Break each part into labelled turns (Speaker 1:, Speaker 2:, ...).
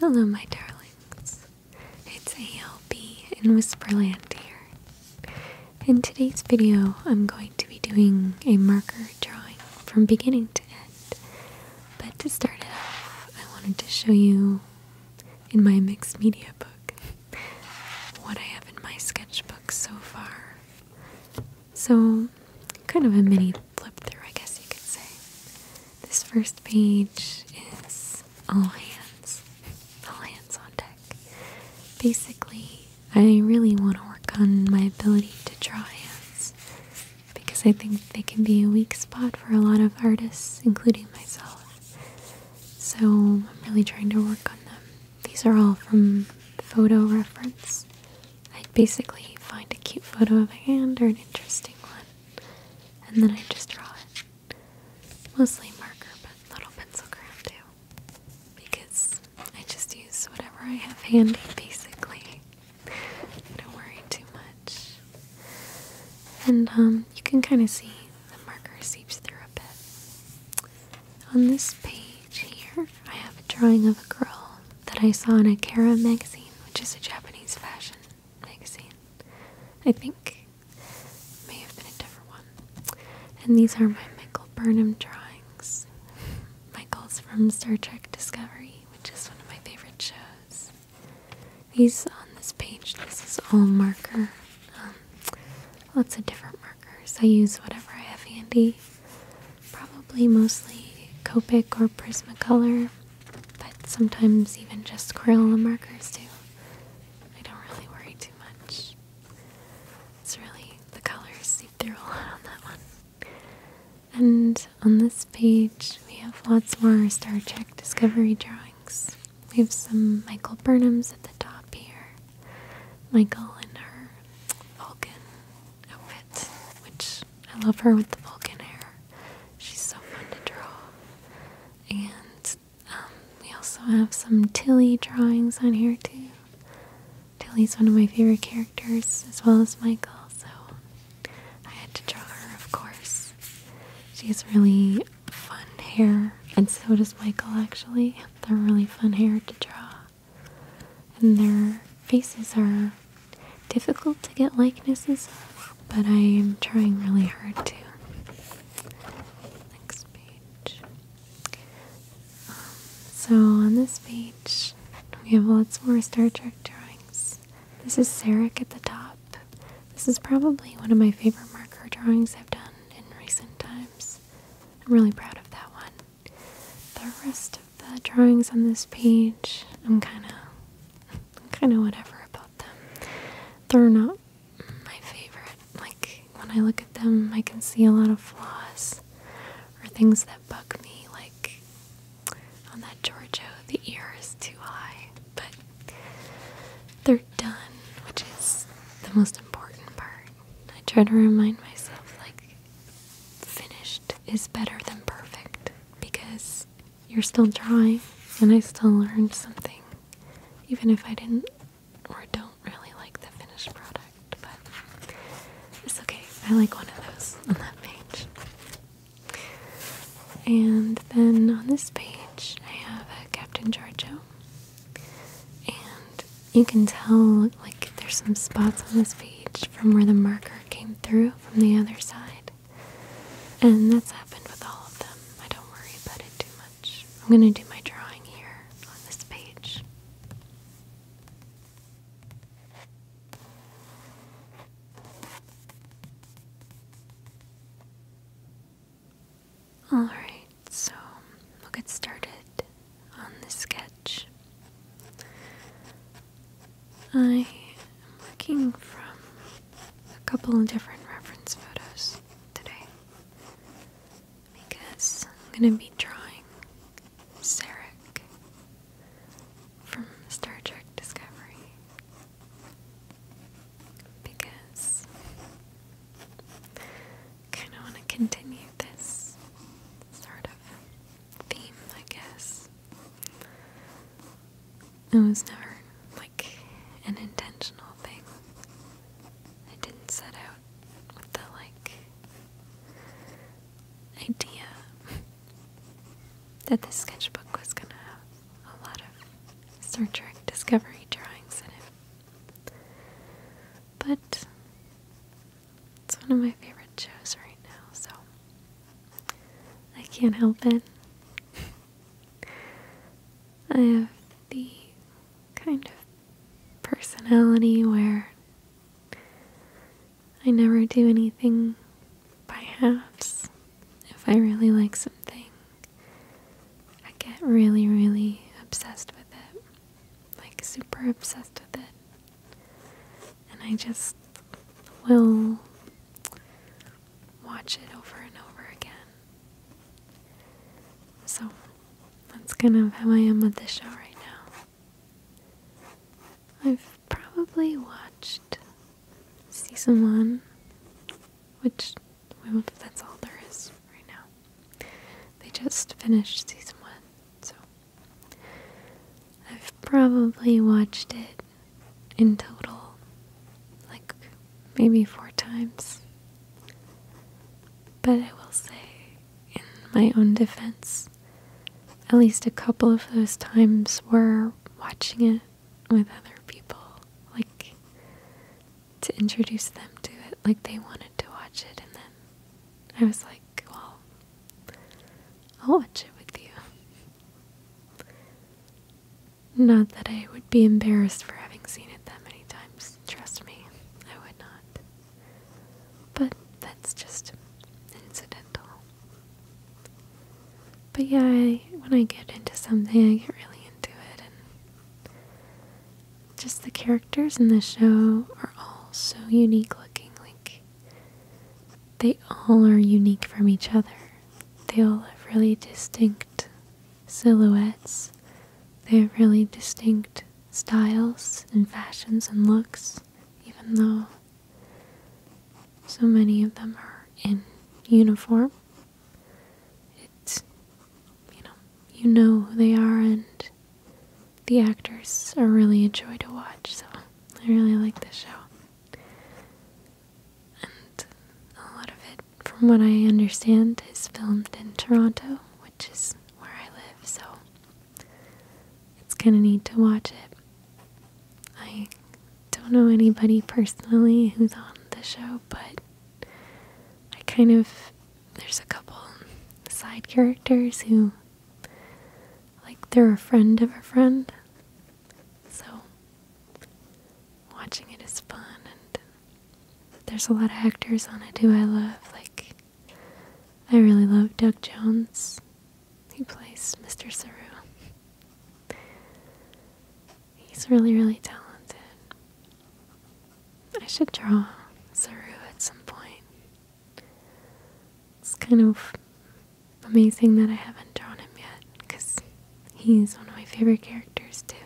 Speaker 1: Hello, my darlings. It's ALB in Whisperland here. In today's video, I'm going to be doing a marker drawing from beginning to end. But to start it off, I wanted to show you in my mixed media book what I have in my sketchbook so far. So, kind of a mini flip through, I guess you could say. This first page is all hands, all hands on deck. Basically, I really want to work on my ability to draw hands because I think they can be a weak spot for a lot of artists, including myself. So I'm really trying to work on them. These are all from photo reference. I basically find a cute photo of a hand or an interesting one and then I just draw it. Mostly marker, but little pencil crayon too. Because I just use whatever I have handy, basically. Don't worry too much. And um, you can kind of see the marker seeps through a bit. On this page here, I have a drawing of a girl that I saw in a Kera magazine, which is a Japanese fashion magazine. I think may have been a different one. And these are my Michael Burnham drawings. Michael's from Star Trek Discovery, which is one of my favorite shows.
Speaker 2: These on this page, this is all marker.
Speaker 1: Um, lots of different markers. I use whatever I have handy. Probably mostly Copic or Prismacolor but sometimes even just Crayola markers too. I don't really worry too much. It's really the colors seep through a lot on that one. And on this page, we have lots more Star Trek Discovery drawings. We have some Michael Burnham's at the top here. Michael in her Vulcan outfit, which I love her with the Vulcan hair. She's so fun to draw. And um, we also have some Tilly drawings on here too. Tilly's one of my favorite characters, as well as Michael, so I had to draw her, of course. She has really fun hair, and so does Michael actually. They're really fun hair to draw. And their faces are difficult to get likenesses of, but I am trying really hard to. Next page. Um, so on this page, we have lots more Star Trek drawings. This is Sarek at the top. This is probably one of my favorite marker drawings I've done in recent times. I'm really proud of that one. The rest of the drawings on this page, I'm kind of kind of whatever about them. They're not my favorite. Like, when I look at them, I can see a lot of flaws or things that bug me, like on that Giorgio, the ear is too high. But they're done, which is the most important part. I try to remind myself, like, finished is better than perfect because you're still drawing, and I still learned something, even if I didn't or don't really like the finished product. But it's okay, I like one of those on that page. And then on this page, I have a Captain Giorgio, and you can tell like there's some spots on this page from where the marker came through from the other side. And that's happened with all of them. I don't
Speaker 2: worry about it too much. I'm going to do
Speaker 1: my drawing here on this page. Alright, so we'll get started on the sketch. I am looking from a couple of different reference photos today because I'm going to be drawing Sarek from Star Trek Discovery because I kind of want to continue this sort of theme, I guess. It was never like an intentional thing. I didn't set out with the like idea that this sketchbook was gonna have a lot of Star Trek Discovery drawings in it. But it's one of my favorite shows right now, so I can't help it. I have the kind of personality where I never do anything by halves. If I really like something, I get really, really obsessed with it. Like, super obsessed with it and I just will watch it over and over again. So that's kind of how I am with the show right now. I've probably watched season one, which that's all there is right now. They just finished season one, so I've probably watched it in total like maybe four times. But I will say, in my own defense, at least a couple of those times were watching it with other people, like to introduce them to it, like they wanted to watch it, and then I was like, well, I'll watch it with you. Not that I would be embarrassed for having seen it that many times, trust me, I would not. But that's just incidental. But yeah, when I get into something, I get really into it, and just the characters in the show are all so unique looking. Like, they all are unique from each other. They all have really distinct silhouettes. They have really distinct styles and fashions and looks, even though so many of them are in uniform. It's, you know, you know who they are, and the actors are really a joy to watch, so I really like this show and a lot of it, from what I understand, is filmed in Toronto, which is where I live, so it's kind of neat to watch it. I don't know anybody personally who's on the show, but I kind of, there's a couple side characters who, like, they're a friend of a friend. So watching it is fun and there's a lot of actors on it who I love. Like I really love Doug Jones. He plays Mr. Saru. He's really, really talented. I should draw Saru at some point. It's kind of amazing that I haven't drawn him yet because he's one of my favorite characters too.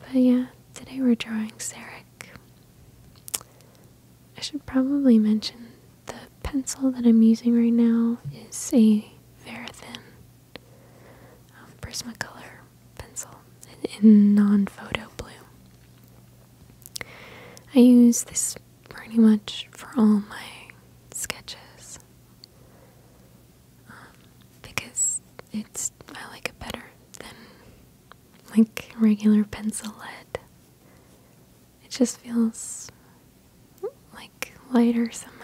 Speaker 1: But yeah, today we're drawing Sarek. I should probably mention the pencil that I'm using right now is a very thin um, Prismacolor pencil in, in non-photo blue. I use this pretty much for all my sketches um, because it's I like it better than like regular pencil lead. It just feels like lighter somehow,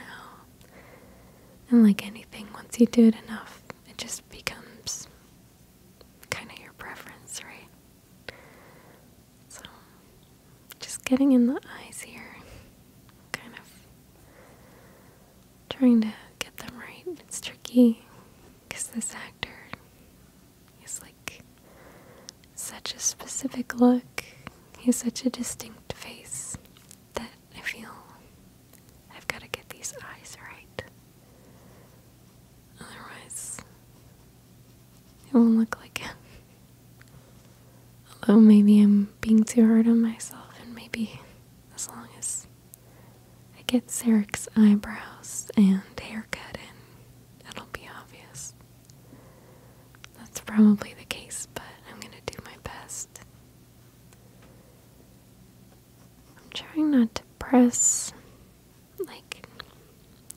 Speaker 1: and like anything, once you do it enough, it just becomes kind of your preference, right? just getting in the eyes here, kind of trying to get them right. It's tricky because this actor is like such a specific look, he has such a distinct face that I feel I've got to get these eyes right. Otherwise, it won't look like it. Although maybe I'm being too hard on myself, and maybe as long as I get Sarek's eyebrows and haircut in, it'll be obvious. That's probably the case, but I'm gonna do my best. I'm trying not to press like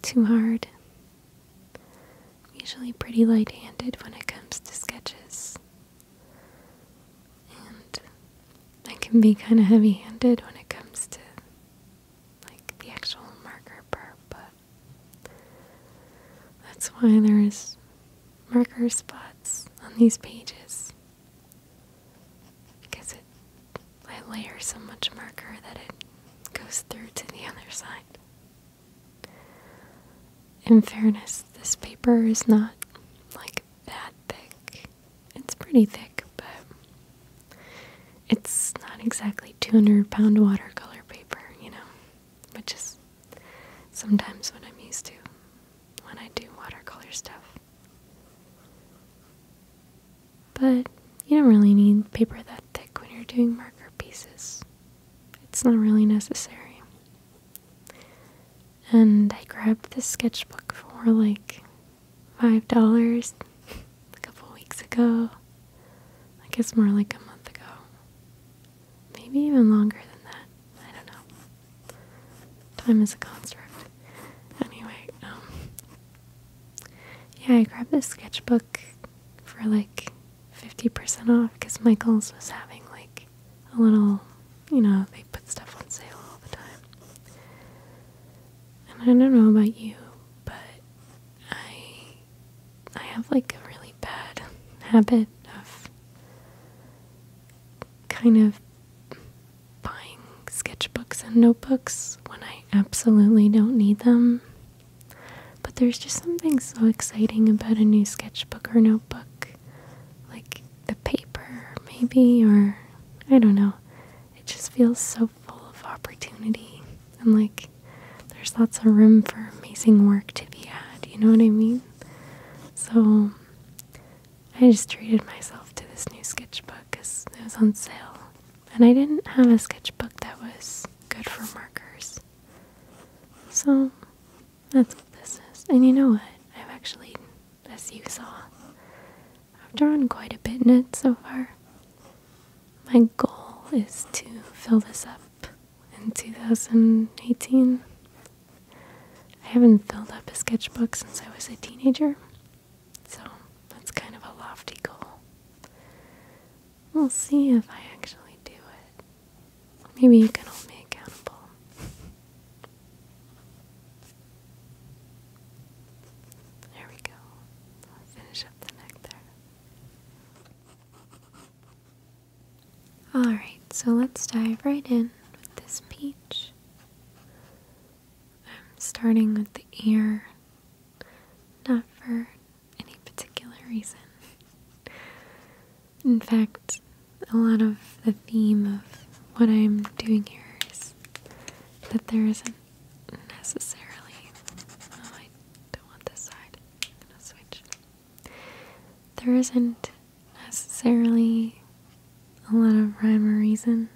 Speaker 1: too hard I'm usually pretty light handed when it comes to sketches. And I can be kind of heavy handed when it comes to like the actual marker part, but that's why there is marker spots on these pages. Because I layer so much marker that it goes through to the other side. In fairness, this paper is not like that thick. It's pretty thick, but it's not exactly 200 pound watercolor paper, you know, which is sometimes what I'm used to when I do watercolor stuff. But you don't really need paper that thick when you're doing marker pieces. It's not really necessary. And I grabbed this sketchbook for like $5 a couple weeks ago. I guess more like a month ago. Maybe even longer than that. I don't know. Time is a construct. Anyway, um, yeah, I grabbed this sketchbook for like 50% off because Michael's was having like a little, you know, they put stuff on sale all the time. And I don't know about you, but I I have like a really bad habit of kind of buying sketchbooks and notebooks when I absolutely don't need them but there's just something so exciting about a new sketchbook or notebook. Like the paper, maybe, or I don't know. It just feels so full of opportunity. And like there's lots of room for amazing work to be had, you know what I mean? So I just treated myself to this new sketchbook because it was on sale and I didn't have a sketchbook that was good for markers. So that's what this is. And you know what? I've actually, as you saw, I've drawn quite a bit in it so far. My goal is to fill this up in 2018. I haven't filled up a sketchbook since I was a teenager, so that's kind of a lofty goal. We'll see if I actually do it. Maybe you can hold me accountable. There we go. finish up the neck there. Alright, so let's dive right in with this peach. I'm starting with the ear, not for any particular reason. In fact, a lot of the theme of what I'm doing here is that there isn't necessarily. Oh, I don't want this side. I'm gonna switch. There isn't necessarily a lot of rhyme or reason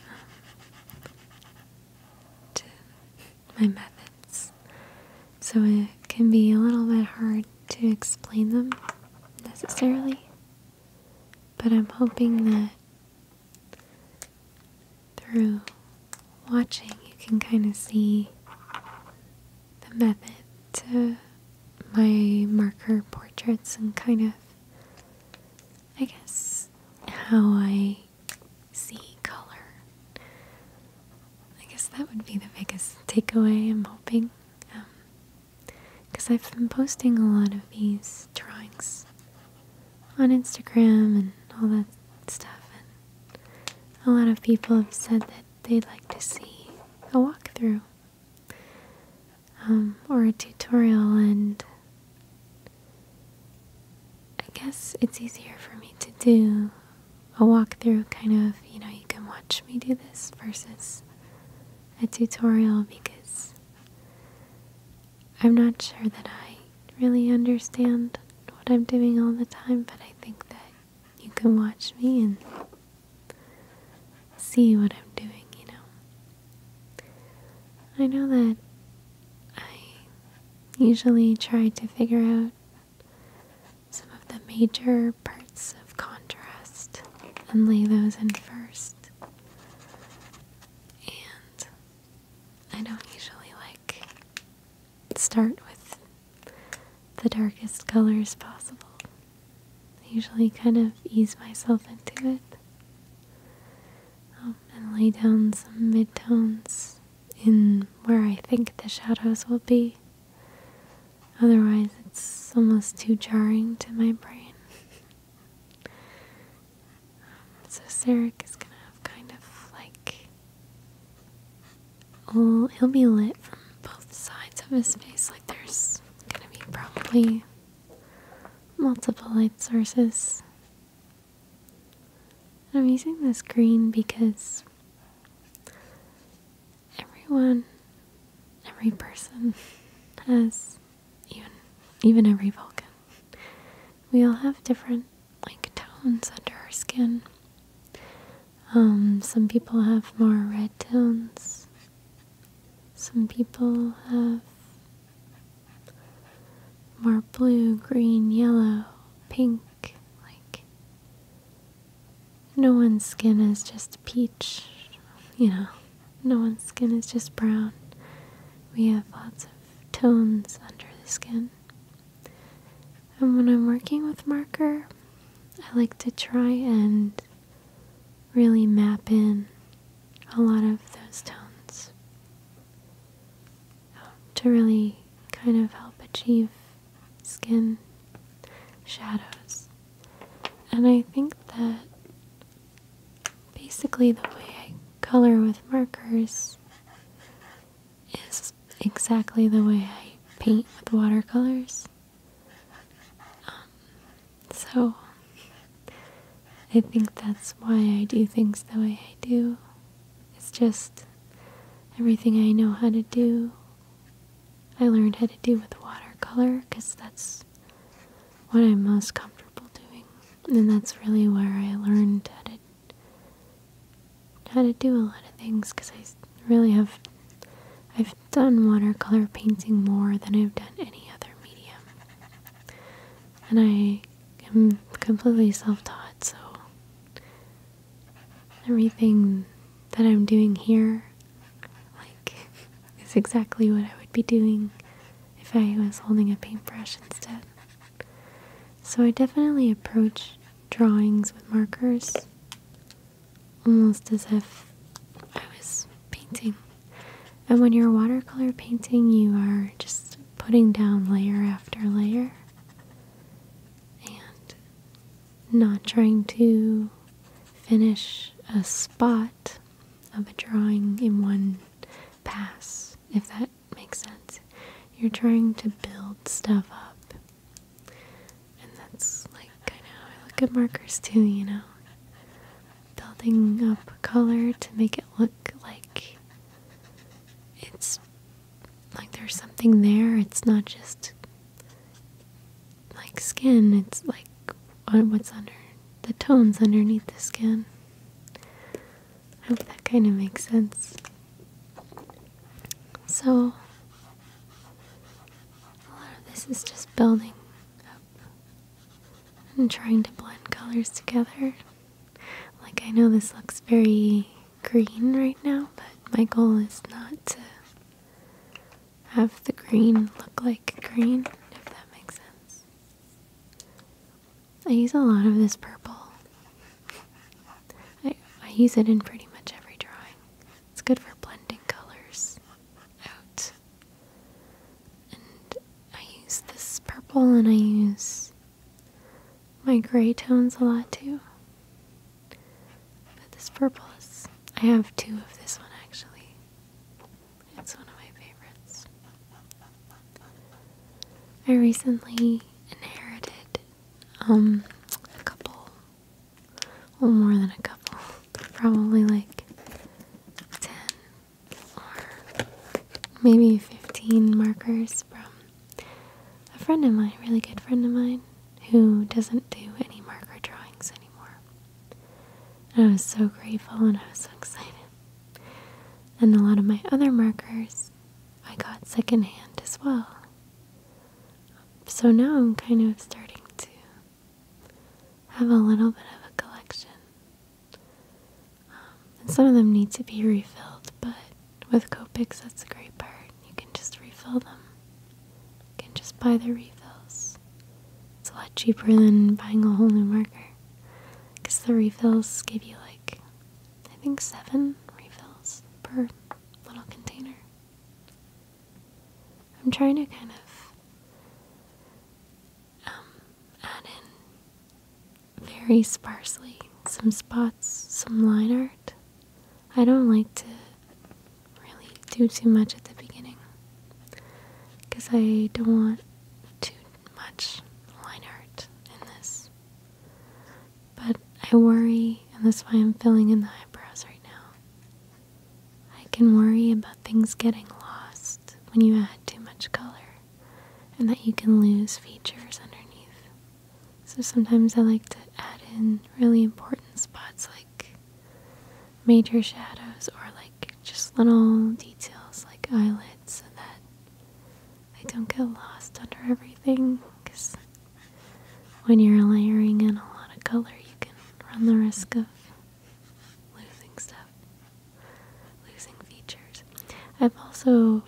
Speaker 1: um, to my methods. So it can be a little bit hard to explain them necessarily, but I'm hoping that through watching you can kind of see the method to my marker portraits and kind of, I guess, how I I see color. I guess that would be the biggest takeaway, I'm hoping. Because um, I've been posting a lot of these drawings on Instagram and all that stuff. And a lot of people have said that they'd like to see a walkthrough um, or a tutorial, and I guess it's easier for me to do a walkthrough kind of, you know, you can watch me do this versus a tutorial because I'm not sure that I really understand what I'm doing all the time, but I think that you can watch me and see what I'm doing, you know. I know that I usually try to figure out some of the major parts of contrast and lay those in first. And I don't usually like start with the darkest colors possible. I usually kind of ease myself into it um, and lay down some mid tones in where I think the shadows will be. Otherwise, it's almost too jarring to my brain. so, Sarek is gonna have kind of like. Oh, he'll be lit from both sides of his face. Like, there's gonna be probably multiple light sources I'm using this green because everyone, every person has, even, even every Vulcan, we all have different like tones under our skin. Um, some people have more red tones. Some people have more blue, green, yellow, pink, like no one's skin is just peach, you know, no one's skin is just brown. We have lots of tones under the skin. And when I'm working with marker, I like to try and really map in a lot of those tones to really kind of help achieve skin shadows. And I think that basically the way I color with markers is exactly the way I paint with watercolors. Um, so I think that's why I do things the way I do. It's just everything I know how to do. I learned how to do with watercolor because that's what I'm most comfortable doing. And that's really where I learned how to how to do a lot of things because I really have I've done watercolor painting more than I've done any other medium. And I I'm completely self taught, so everything that I'm doing here, like, is exactly what I would be doing if I was holding a paintbrush instead. So I definitely approach drawings with markers almost as if I was painting. And when you're watercolor painting, you are just putting down layer after layer and not trying to finish a spot of a drawing in one pass, if that makes sense. You're trying to build stuff up. And that's like kind of I look at markers too, you know? Building up color to make it look like it's like there's something there. It's not just like skin, it's like uh, what's under the tones underneath the skin. I hope that kind of makes sense. So, a lot of this is just building up and trying to blend colors together. Like, I know this looks very green right now, but my goal is not to have the green look like green, if that makes sense. I use a lot of this purple. I, I use it in pretty much every drawing. It's good for blending colors out. And I use this purple and I use my gray tones a lot too. But this purple is, I have two of this one actually. It's one of my favorites. I recently inherited um, a couple, well more than a couple, probably like 10 or maybe 15 markers from a friend of mine, a really good friend of mine, who doesn't do any marker drawings anymore. I was so grateful and I was so excited. And a lot of my other markers I got secondhand as well. So now I'm kind of starting to have a little bit of a collection um, and some of them need to be refilled, but with Copics, that's the great part. You can just refill them. You can just buy the refills. It's a lot cheaper than buying a whole new marker. Because the refills give you like, I think seven refills per little container. I'm trying to kind of um, add in very sparsely some spots, some line art. I don't like to really do too much at the beginning because I don't want too much line art in this. But I worry, and that's why I'm filling in the eyebrows right now. I can worry about things getting lost when you add too much color and that you can lose features underneath. So sometimes I like to add in really important spots like major shadows or like just little details like eyelids so that they don't get lost under everything because when you're layering in a lot of color you can run the risk of losing stuff losing features. I've also,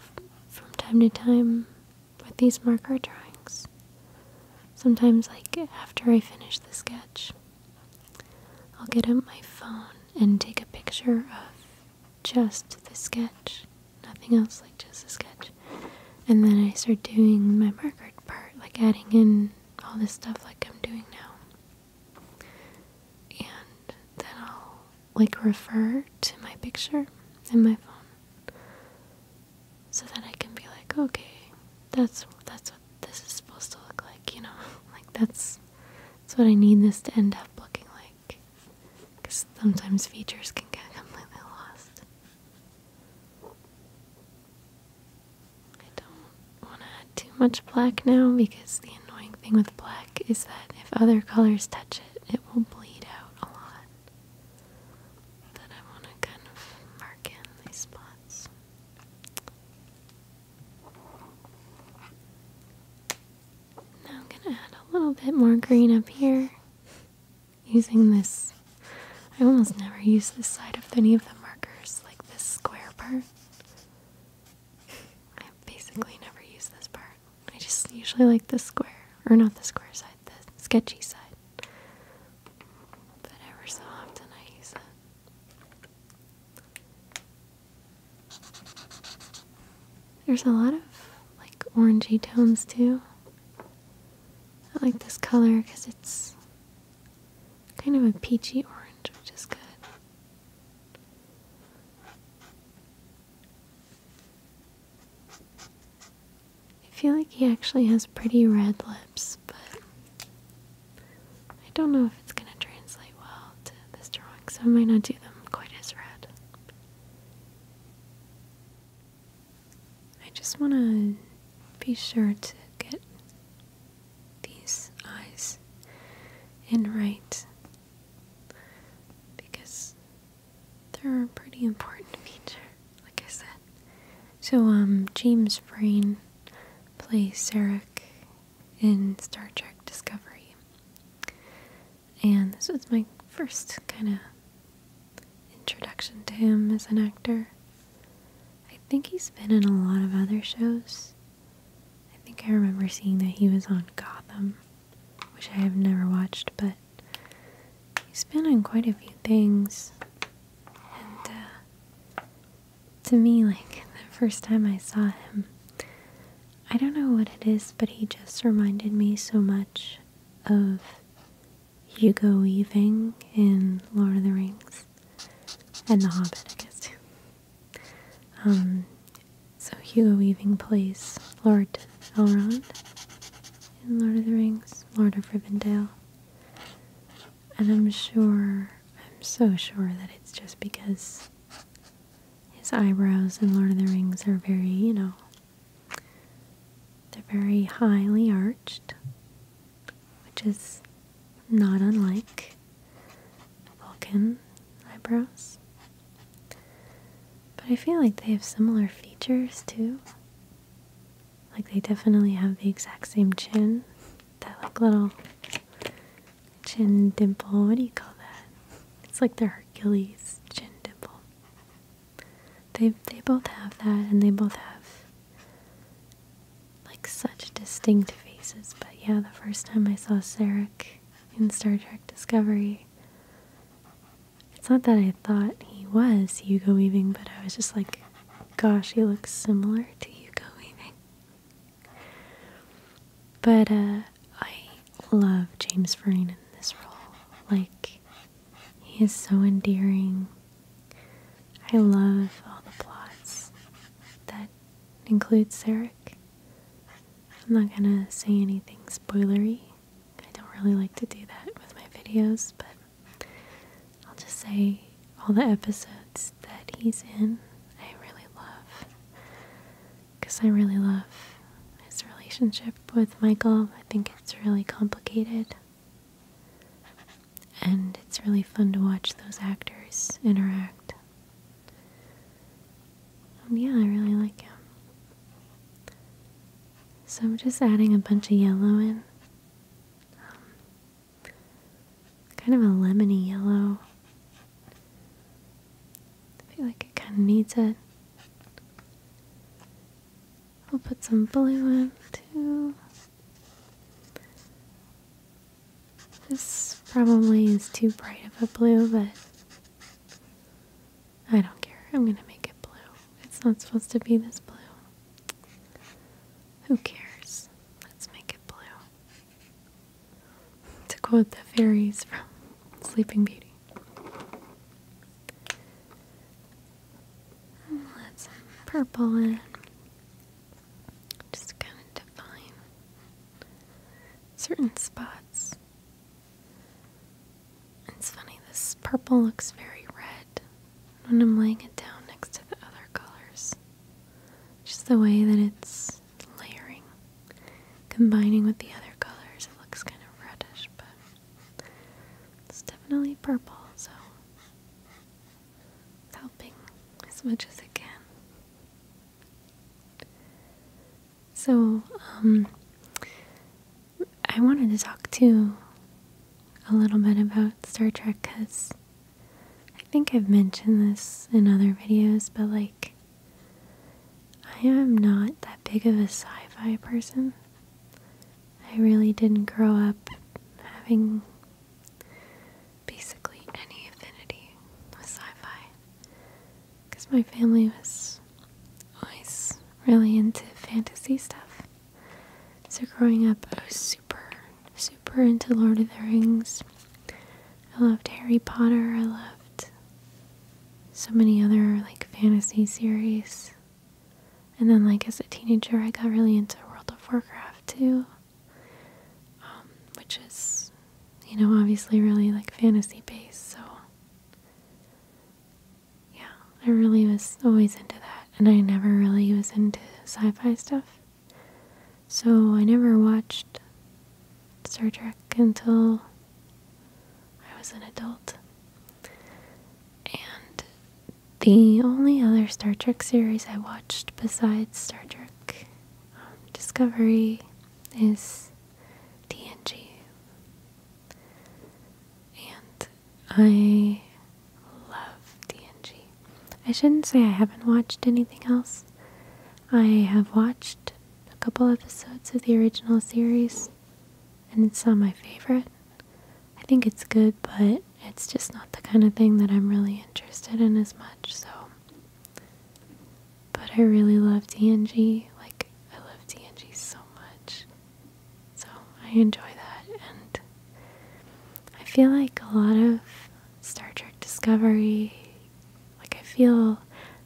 Speaker 1: from time to time, with these marker drawings, sometimes, like after I finish the sketch, I'll get up my phone and take a picture of just the sketch, nothing else, like just the sketch. And then I start doing my marker part, like adding in all this stuff, like I'm doing now. And then I'll like refer to my picture in my phone so that I can be like, okay, that's that's what this is supposed to look like, you know, like that's that's what I need this to end up looking like because sometimes features can get completely lost. I don't want to add too much black now because the annoying thing with black is that if other colors touch it it, will bleed out a lot. Then I want to kind of mark in these spots. Now I'm going to add a little bit more green up here using this. I almost never use this side of any of the markers, like this square part. I basically never use this part. I just usually like the square, or not the square side, the sketchy side. But ever so often I use it. There's a lot of like orangey tones too. I like this color because it's kind of a peachy orange, which is good. I feel like he actually has pretty red lips, but I don't know if it's going to translate well to this drawing, so I might not do them quite as red. I just want to be sure to get these eyes in right because they're a pretty important feature, like I said. So, um, James Breen plays Sarek in Star Trek Discovery. And this was my first kind of introduction to him as an actor. I think he's been in a lot of other shows. I think I remember seeing that he was on Gotham which I have never watched, but he's been on quite a few things. And uh, to me, like the first time I saw him, I don't know what it is, but he just reminded me so much of Hugo Weaving in Lord of the Rings and The Hobbit, I guess. Too. Um, so Hugo Weaving plays Lord Elrond in Lord of the Rings, Lord of Rivendell. And I'm sure, I'm so sure that it's just because his eyebrows in Lord of the Rings are very, you know, they're very highly arched, which is not unlike Vulcan eyebrows. But I feel like they have similar features too. Like they definitely have the exact same chin. That like little chin dimple. What do you call that? It's like their Hercules chin dimple. They they both have that and they both have like such distinct faces. But yeah, the first time I saw Sarek in Star Trek Discovery, it's not that I thought he was Hugo Weaving, but I was just like, gosh, he looks similar to Hugo Weaving. But uh, I love James Frain in this role. Like, he is so endearing. I love all the plots that include Serik. I'm not gonna say anything spoilery. I don't really like to do that with my videos, but I'll just say all the episodes that he's in, I really love. Because I really love his relationship with Michael. I think it's really complicated. And it's really fun to watch those actors interact. Um, yeah, I really like him. So I'm just adding a bunch of yellow in. Um, kind of a lemony yellow. I feel like it kind of needs it. I'll put some blue in too. This probably is too bright of a blue, but I don't care. I'm gonna make it blue. It's not supposed to be this blue. Who cares? Let's make it blue. To quote the fairies from Sleeping Beauty. Let's purple in. Just kind of define certain spots it's funny, this purple looks very red when I'm laying it down next to the other colors. Just the way that it's layering, combining with the other colors, it looks kind of reddish, but it's definitely purple, so it's helping as much as it can. So, um, I wanted to talk to a little bit about Star Trek because I think I've mentioned this in other videos, but like, I am not that big of a sci fi person. I really didn't grow up having basically any affinity with sci fi because my family was always really into fantasy stuff. So growing up, I was super, super into Lord of the Rings. I loved Harry Potter. I loved so many other like fantasy series. And then, like as a teenager, I got really into World of Warcraft too, um, which is you know, obviously really like fantasy based, so yeah, I really was always into that, and I never really was into sci fi stuff. So I never watched Star Trek until I was an adult. And the only other Star Trek series I watched besides Star Trek um, Discovery is TNG. And I love TNG. I shouldn't say I haven't watched anything else. I have watched a couple episodes of the original series, and it's not my favorite. I think it's good, but it's just not the kind of thing that I'm really interested in as much, so but I really love DNG. Like, I love DNG so much. So I enjoy that. And I feel like a lot of Star Trek Discovery, like, I feel.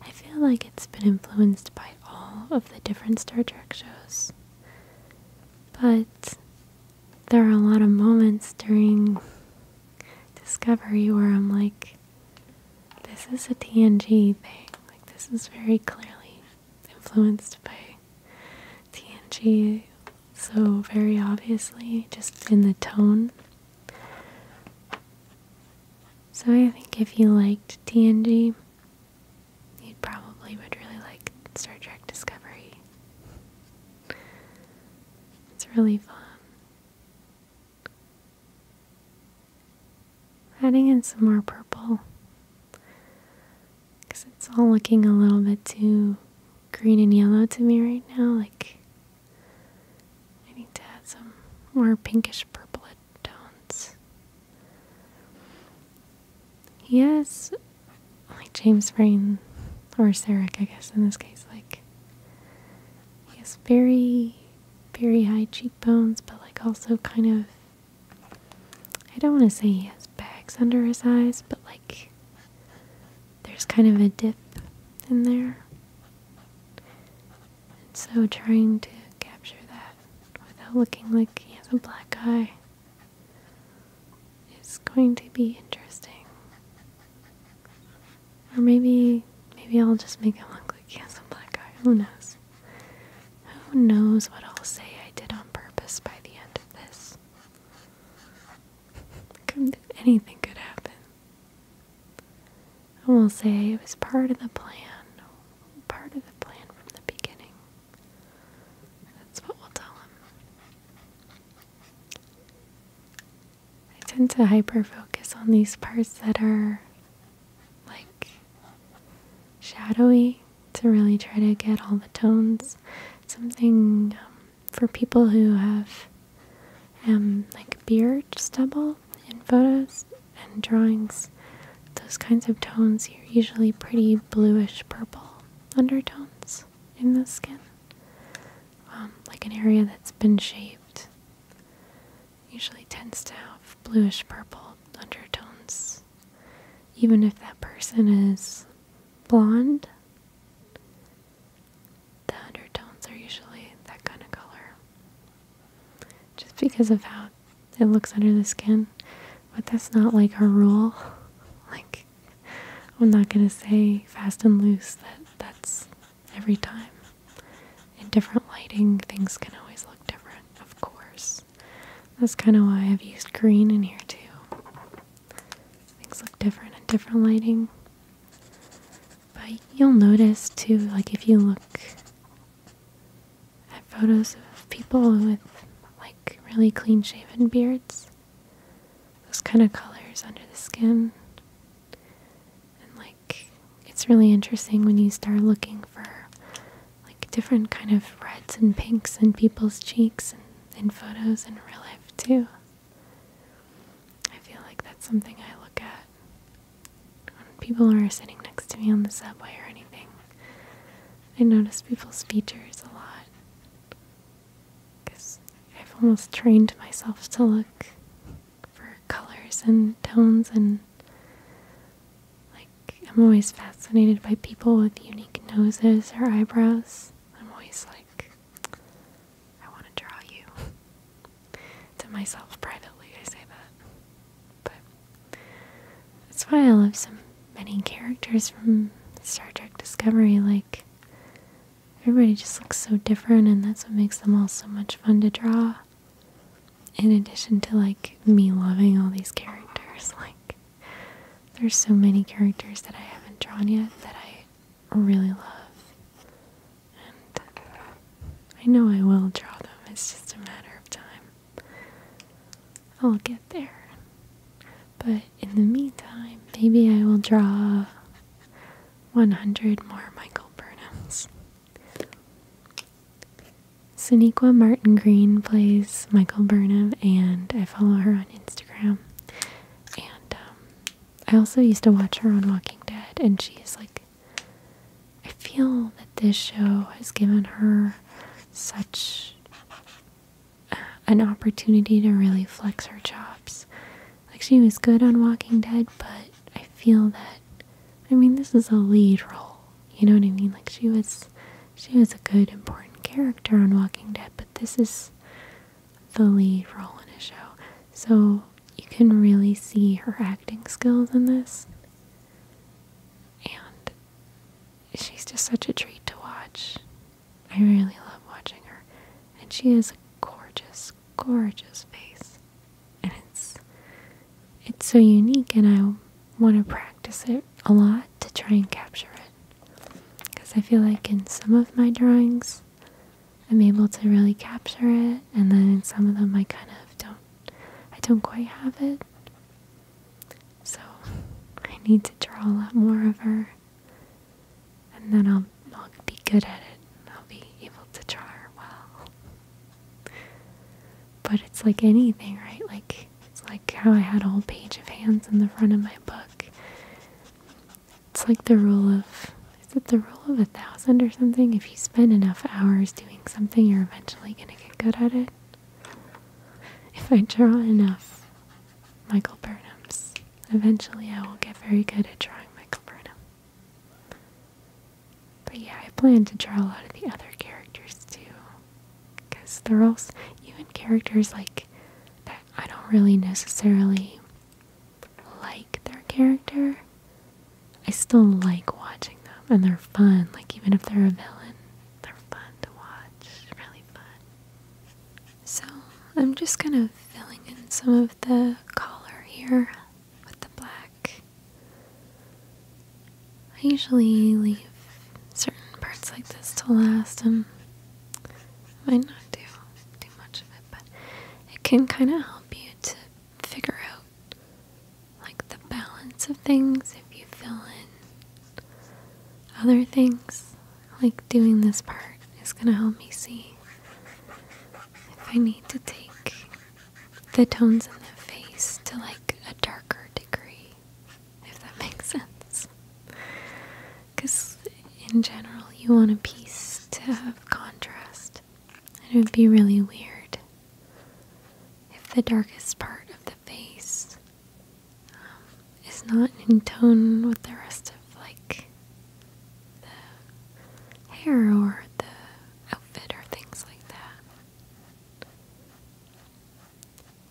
Speaker 1: I feel like it's been influenced by all of the different Star Trek shows. But there are a lot of moments during Discovery where I'm like, this is a TNG thing. Like this is very clearly influenced by TNG. So very obviously, just in the tone. So I think if you liked TNG, you probably would really like Star Trek Discovery. It's really fun. Adding in some more purple because it's all looking a little bit too green and yellow to me right now. Like, I need to add some more pinkish purple tones. Yes, like James Rain, or Sarek, I guess in this case, like, he has very very high cheekbones, but like also kind of. I don't want to say he has bags under his eyes, but like there's kind of a dip in there. And so trying to capture that without looking like he has a black eye is going to be interesting. Or maybe maybe I'll just make him look like he has a black eye. Who knows? Who knows what I'll say I did on purpose by the end of this? Anything could happen. I will say it was part of the plan. Part of the plan from the beginning. That's what we'll tell him. I tend to hyper focus on these parts that are like shadowy to really try to get all the tones. Something um, for people who have um, like beard stubble in photos and drawings, those kinds of tones are usually pretty bluish purple undertones in the skin, um, like an area that's been shaved usually tends to have bluish purple undertones. Even if that person is blonde, the undertones are usually that kind of color. Just because of how it looks under the skin. But that's not like a rule. Like, I'm not gonna say fast and loose that that's every time. In different lighting, things can always look different, of course. That's kind of why I've used green in here too. Things look different in different lighting. But you'll notice too, like if you look at photos of people with like really clean shaven beards, those kind of colors under the skin and like it's really interesting when you start looking for like different kind of reds and pinks in people's cheeks and in photos and real life too. I feel like that's something I look at when people are sitting next to me on the subway or anything. I notice people's features a lot because I've almost trained myself to look for colors and tones and like I'm always fascinated by people with unique noses or eyebrows. I'm always like I want to draw you. to myself privately I say that. But that's why I love so many characters from Star Trek Discovery like everybody just looks so different and that's what makes them all so much fun to draw in addition to like me loving all these characters, like there's so many characters that I haven't drawn yet that I really love. And I know I will draw them, it's just a matter of time. I'll get there. But in the meantime, maybe I will draw 100 more Michael Burnhams. Sonequa Martin Green plays Michael Burnham, and I follow her on Instagram. And um, I also used to watch her on Walking Dead, and she's like, I feel that this show has given her such uh, an opportunity to really flex her chops. Like, she was good on Walking Dead, but I feel that I mean this is a lead role. You know what I mean? Like she was she was a good important character on Walking Dead, but this is the lead role in a show. So you can really see her acting skills in this. And she's just such a treat to watch. I really love watching her. And she is a gorgeous, gorgeous face. And it's it's so unique and I want to practice it a lot to try and capture it. Cuz I feel like in some of my drawings I'm able to really capture it and then in some of them I kind of don't I don't quite have it. So I need to draw a lot more of her and then I'll I'll be good at it. I'll be able to draw her well. But it's like anything, right? Like it's like how I had a whole page of hands in the front of my book. It's like the rule of is it the rule of a thousand or something? If you spend enough hours doing something, you're eventually gonna get good at it. If I draw enough Michael Burnhams, eventually I will get very good at drawing Michael Burnham. But yeah, I plan to draw a lot of the other characters too. Because they're even characters like that I don't really necessarily like their character. I still like watching them and they're fun. Like even if they're a villain, they're fun to watch. Really fun. So I'm just kind of filling in some of the collar here with the black. I usually leave certain parts like this to last and um, might not do too much of it, but it can kind of help you to figure out like the balance of things if you fill in other things. Like doing this part is going to help me see if I need to take the tones in the face to like a darker degree, if that makes sense. Because in general, you want a piece to have contrast, it would be really weird if the darkest part of the face um, is not in tone with the rest of like the hair or the outfit or things like that.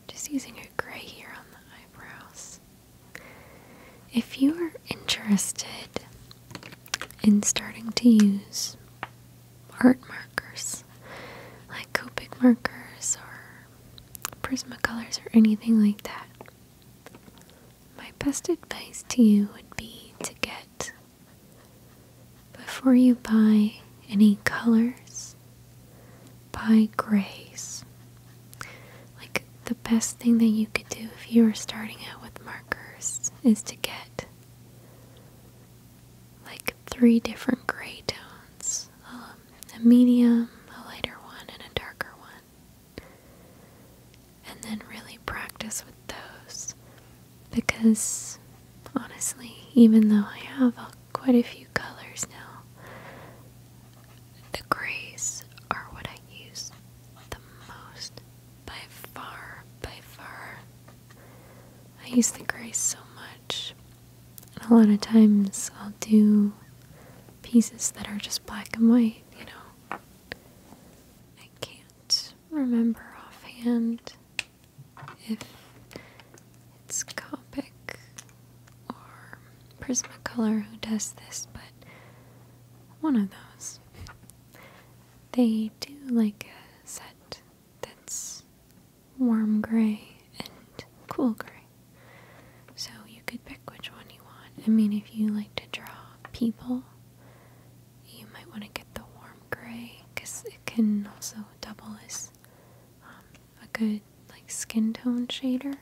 Speaker 1: Just using a gray here on the eyebrows. If you are interested in starting to use art markers, like Copic markers or Prismacolors or anything like that, my best advice to you would be to get before you buy any colors, buy grays. Like the best thing that you could do if you were starting out with markers is to get like three different gray tones um, a medium, a lighter one, and a darker one and then really practice with those because honestly, even though I have quite a few colors now, the grays are what I use the most by far, by far. I use the grays so much. And a lot of times I'll do pieces that are just black and white, you know. I can't remember offhand if it's Copic or Prismacolor who does this, but one of those. They do like a set that's warm gray and cool gray. So you could pick which one you want. I mean, if you like to draw people, you might want to get the warm gray because it can also double as um, a good like skin tone shader.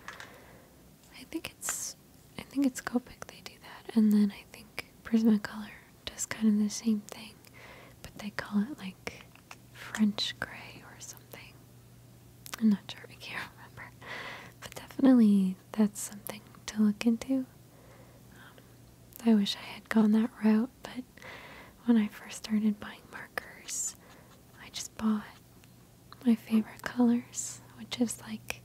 Speaker 1: I think it's I think it's Copic they do that, and then I think Prismacolor does kind of the same thing, but they call it like French gray or something. I'm not sure. I can't remember, but definitely that's something to look into. Um, I wish I had gone that route, but when I first started buying markers, I just bought my favorite colors, which is like,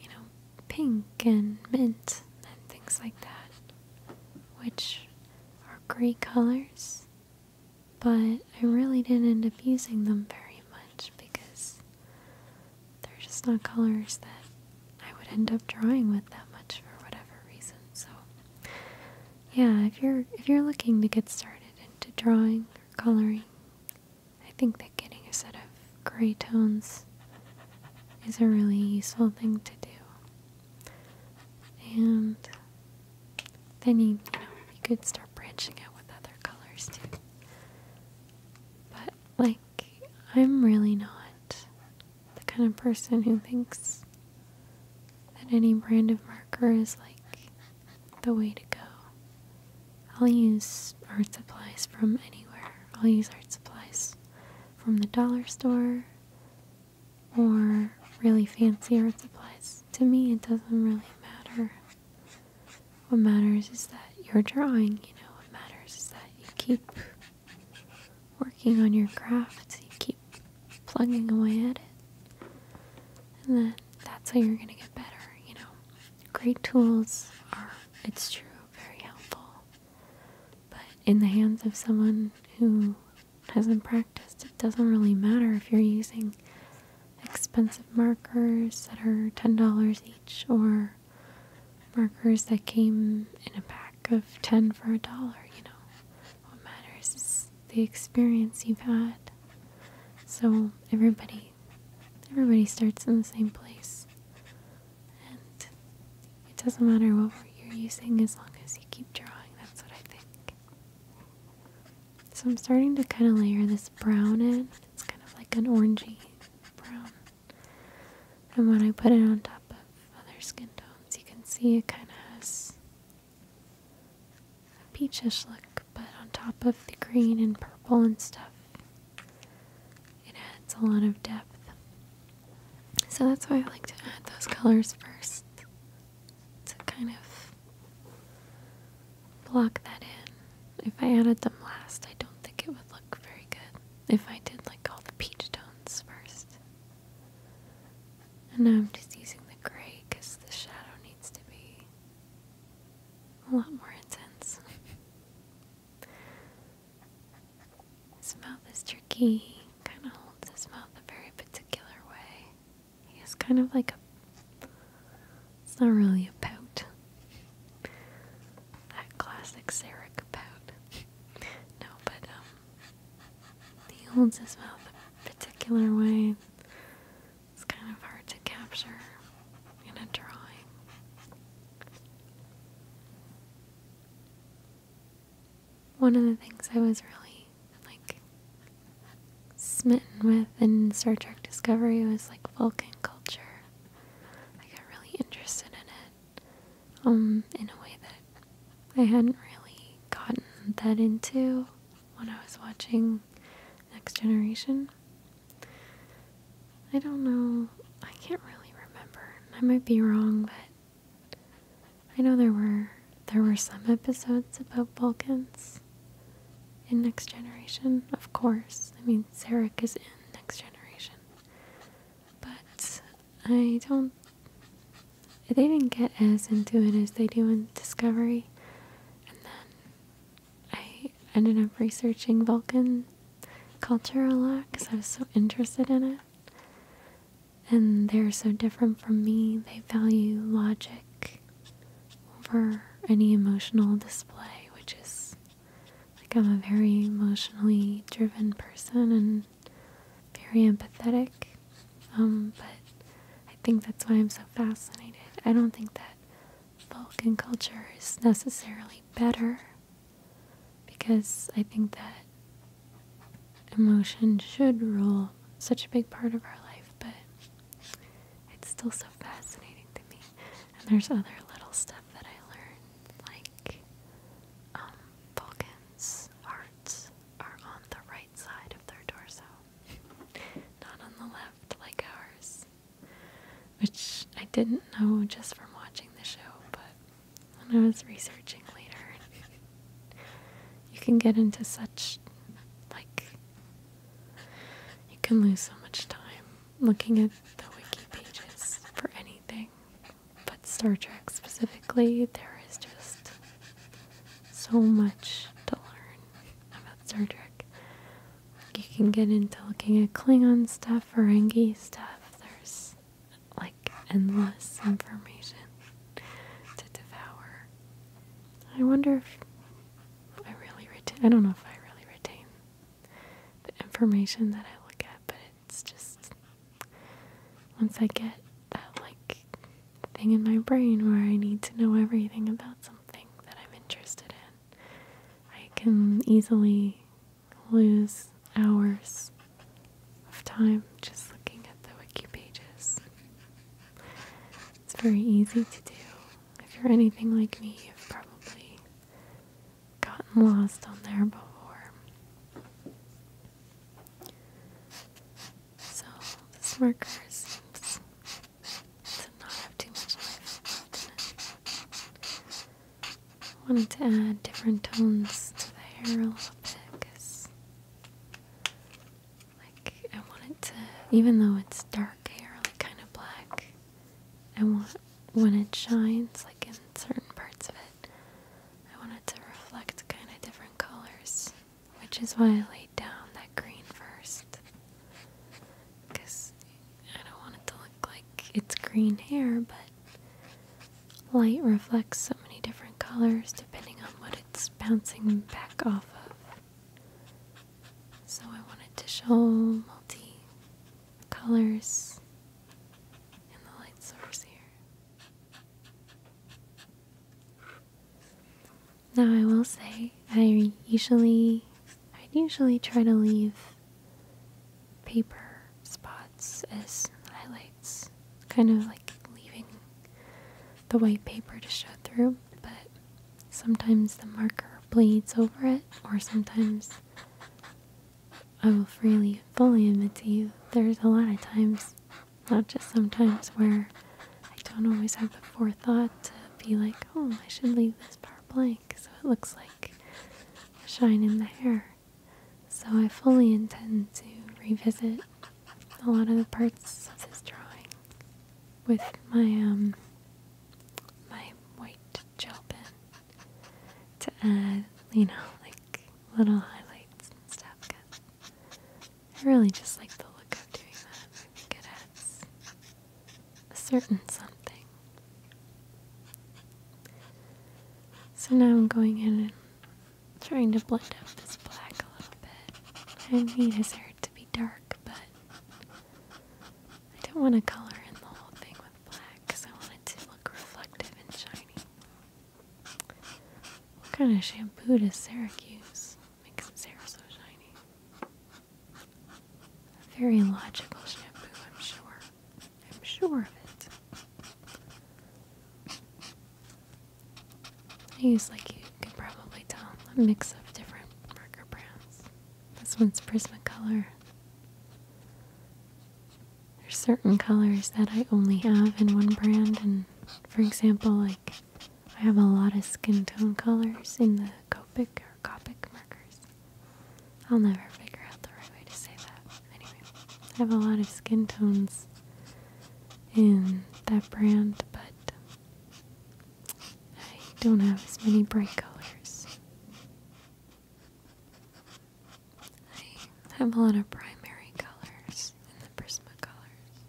Speaker 1: you know, pink and mint and things like that, which are great colors, but I really didn't end up using them very much because they're just not colors that I would end up drawing with that much for whatever reason. So yeah, if you're if you're looking to get started into drawing or coloring, I think that getting a set of gray tones is a really useful thing to do. And then you, you could start branching out with other colors too. But like I'm really not the kind of person who thinks that any brand of marker is like the way to go. I'll use art supplies from anywhere. I'll use art supplies from the dollar store or really fancy art supplies. To me, it doesn't really matter what matters is that you're drawing, you know, what matters is that you keep working on your craft, you keep plugging away at it. And then that's how you're gonna get better, you know. Great tools are, it's true, very helpful. But in the hands of someone who hasn't practiced, it doesn't really matter if you're using expensive markers that are $10 each or markers that came in a pack of 10 for a dollar, you know. What matters is the experience you've had. So everybody everybody starts in the same place. And it doesn't matter what you're using as long as you keep drawing. That's what I think. So I'm starting to kind of layer this brown in. It's kind of like an orangey brown. And when I put it on top of other skin tones, you can see it kind of has a peachish look, but on top of the green and purple and stuff, it adds a lot of depth. So that's why I like to add those colors first to kind of block that in. If I added them last, I don't think it would look very good. If I did like all the peach tones first. And now I'm just using the gray because the shadow needs to be a lot more intense. his mouth is tricky. Kind of holds his mouth a very particular way. He has kind of like a. It's not really a pout. That classic Sarah Capote. no, but um, he holds his mouth a particular way. It's kind of hard to capture in a drawing. One of the things I was really like smitten with in Star Trek Discovery was like Vulcan culture I got really interested in it um, in a way that I hadn't really gotten that into when I was watching Next Generation. I don't know. I can't really remember. I might be wrong, but I know there were there were some episodes about Vulcans in Next Generation, of course. I mean, Sarek is in Next Generation. But I don't. They didn't get as into it as they do in Discovery. And then I ended up researching Vulcan culture a lot because I was so interested in it. And they're so different from me. They value logic over any emotional display, which is like, I'm a very emotionally driven person and very empathetic. Um, but I think that's why I'm so fascinated. I don't think that Vulcan culture is necessarily better because I think that emotion should rule such a big part of our life, but it's still so fascinating to me. And there's other little stuff that I learned, like um, Vulcans' hearts are on the right side of their torso, not on the left like ours. Which I didn't know just from watching the show, but when I was researching later, you can get into such, like, you can lose so much time looking at the wiki pages for anything, but Star Trek specifically, there is just so much to learn about Star Trek. You can get into looking at Klingon stuff, Ferengi stuff, there's like endless information to devour. I wonder if I really retain, I don't know if I really retain the information that I look at, but it's just once I get that like thing in my brain where I need to know everything about something that I'm interested in, I can easily lose hours of time just looking at the wiki pages. It's very easy to do. If you're anything like me, you've probably gotten lost on there before. So this marker to not have too much I wanted to add different tones to the hair a little bit because like I want to even though it's dark hair, like kind of black, I want when it shines, like in certain parts of it, I want it to reflect kind of different colors, which is why I laid down that green first. Because I don't want it to look like it's green hair, but light reflects so many different colors depending on what it's bouncing back off of. So I wanted to show multi colors and the light source here. Now I will say I usually I usually try to leave paper spots as highlights, kind of like leaving the white paper to show through, but sometimes the marker bleeds over it, or sometimes I will freely, fully admit to you, there's a lot of times, not just sometimes, where I don't always have the forethought to be like, oh, I should leave this part blank so it looks like shine in the hair. So I fully intend to revisit a lot of the parts of this drawing with my um my white gel pen to add, you know, like little highlights and stuff because I really just like the look of doing that. I think it adds a certain something. So now I'm going in and trying to blend up this black a little bit. I need his hair to be dark, but I don't want to color in the whole thing with black because I want to look reflective and shiny. What kind of shampoo does Syracuse? Makes its hair so shiny. very logical shampoo, I'm sure. I'm sure of it. I use, like you can probably tell, a mix of different marker brands. This one's Prismacolor. There's certain colors that I only have in one brand, and for example, like I have a lot of skin tone colors in the Copic or Copic markers. I'll never figure out the right way to say that. Anyway, I have a lot of skin tones in that brand, but I don't have as many bright colors. I have a lot of primary colors in the Prismacolors.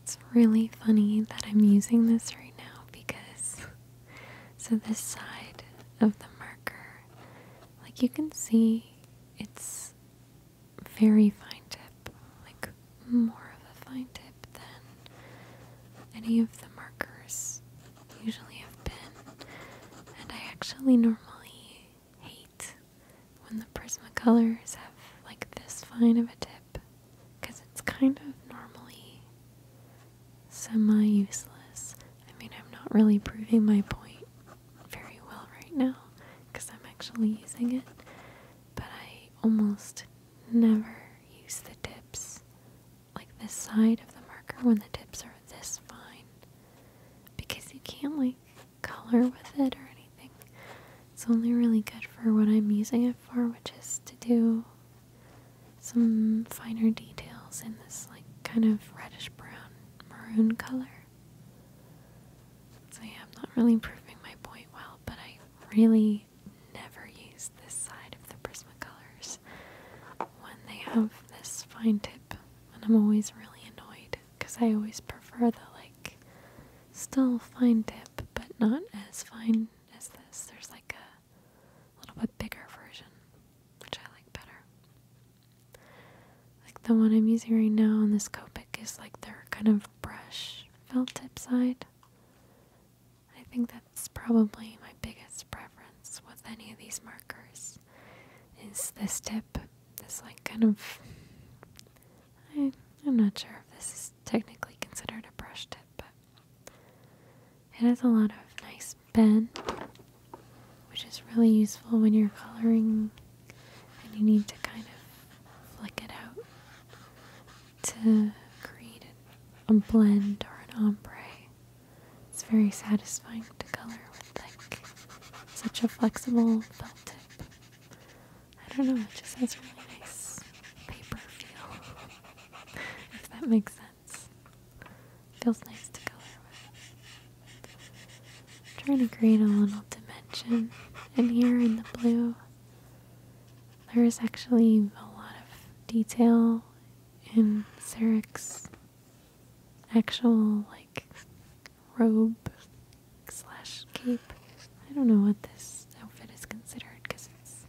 Speaker 1: It's really funny that I'm using this right now because so this side of the marker, like you can see, it's very fine tip, like more of a fine tip than any of the markers usually have been. And I actually normally hate when the Prismacolors have like this fine of a tip because it's kind of normally semi useless. I mean, I'm not really proving my point very well right now because I'm actually using it, but I almost Never use the tips like this side of the marker when the tips are this fine because you can't like color with it or anything. It's only really good for what I'm using it for, which is to do some finer details in this like kind of reddish brown maroon color. So yeah, I'm not really proving my point well, but I really I never use this side of the Prismacolors when they have this fine tip, and I'm always really annoyed because I always prefer the like still fine tip, but not as fine as this. There's like a little bit bigger version, which I like better. Like the one I'm using right now on this Copic is like their kind of brush felt tip side. I think that's probably my biggest preference with any of these markers is this tip. This like kind of I am not sure if this is technically considered a brush tip, but it has a lot of nice bend which is really useful when you're coloring and you need to kind of flick it out to create a blend or an ombre. It's very satisfying to color with like such a flexible felt tip. I don't know, it just has a really nice paper feel. if that makes sense. feels nice to color with. trying to create a little dimension in here in the blue. There's actually a lot of detail in Sarek's actual like robe slash cape. I don't know what this outfit is considered because it's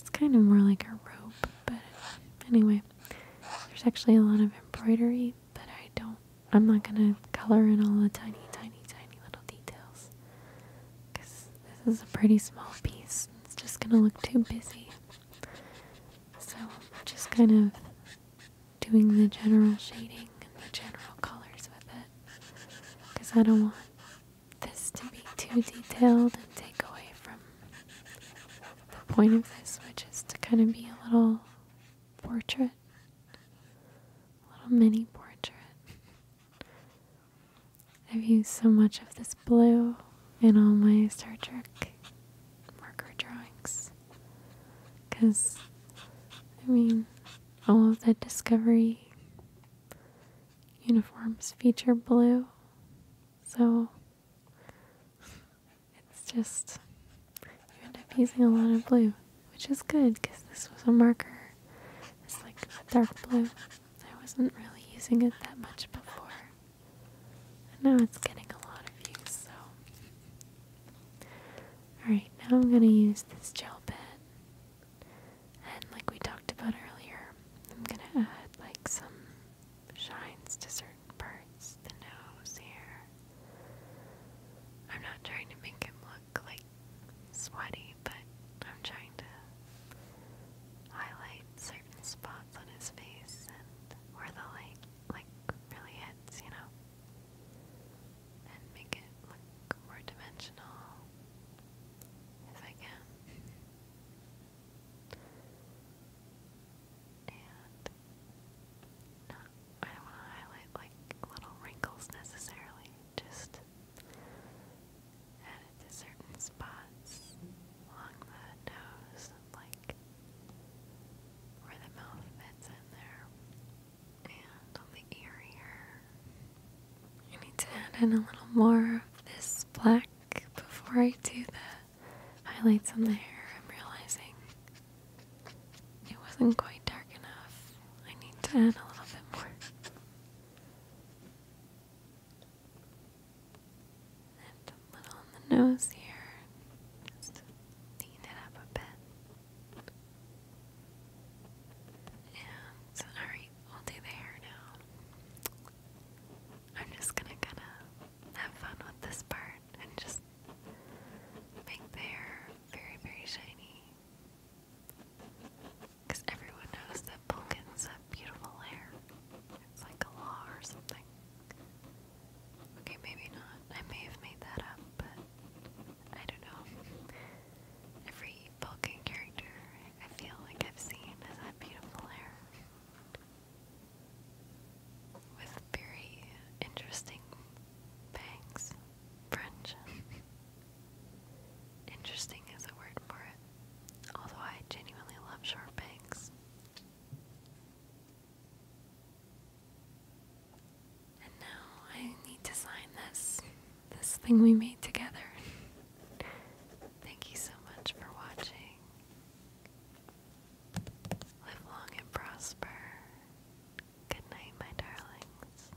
Speaker 1: it's kind of more like a robe, but anyway, there's actually a lot of embroidery, but I don't. I'm not gonna color in all the tiny, tiny, tiny little details because this is a pretty small piece. It's just going to look too busy. So just kind of doing the general shading and the general colors with it because I don't want this to be too detailed and take away from the point of this, which is to kind of be a little portrait, a little mini portrait. I've used so much of this blue in all my Star Trek marker drawings. Because, I mean, all of the Discovery uniforms feature blue. So, it's just, you end up using a lot of blue, which is good because this was a marker. It's like dark blue. I wasn't really using it that much before. And now it's getting a lot of use, so. Alright, now I'm gonna use this gel pen. And like we talked about earlier, I'm gonna add like some shines to certain parts, the nose here. I'm not trying to make him look like sweaty, but I'm trying to highlight certain spots on his face and where the light like really hits, you know, and make it look more dimensional if I can. And not, I don't want to highlight like little wrinkles necessarily, just added to certain spots along the nose, like where the mouth fits in there, and on the ear here. I need to add in a little more of this black before I do the highlights on the hair. I'm realizing it wasn't quite dark enough. I need to add a little bit more. And a little on the nose here. Just clean it up a bit. And alright, we'll do the hair now. I'm just gonna kind of have fun with this part and just make the hair very, very shiny. Because everyone knows that pumpkins have beautiful hair. It's like a law or something. Okay, maybe not. I may have made that up, but I don't know. Every Vulcan character I feel like I've seen has had beautiful hair. With very interesting bangs. French. interesting is a word for it. Although I genuinely love sharp banks. And now I need to sign this this thing we made together. Thank you so much for watching. Live long and prosper. Good night, my darlings.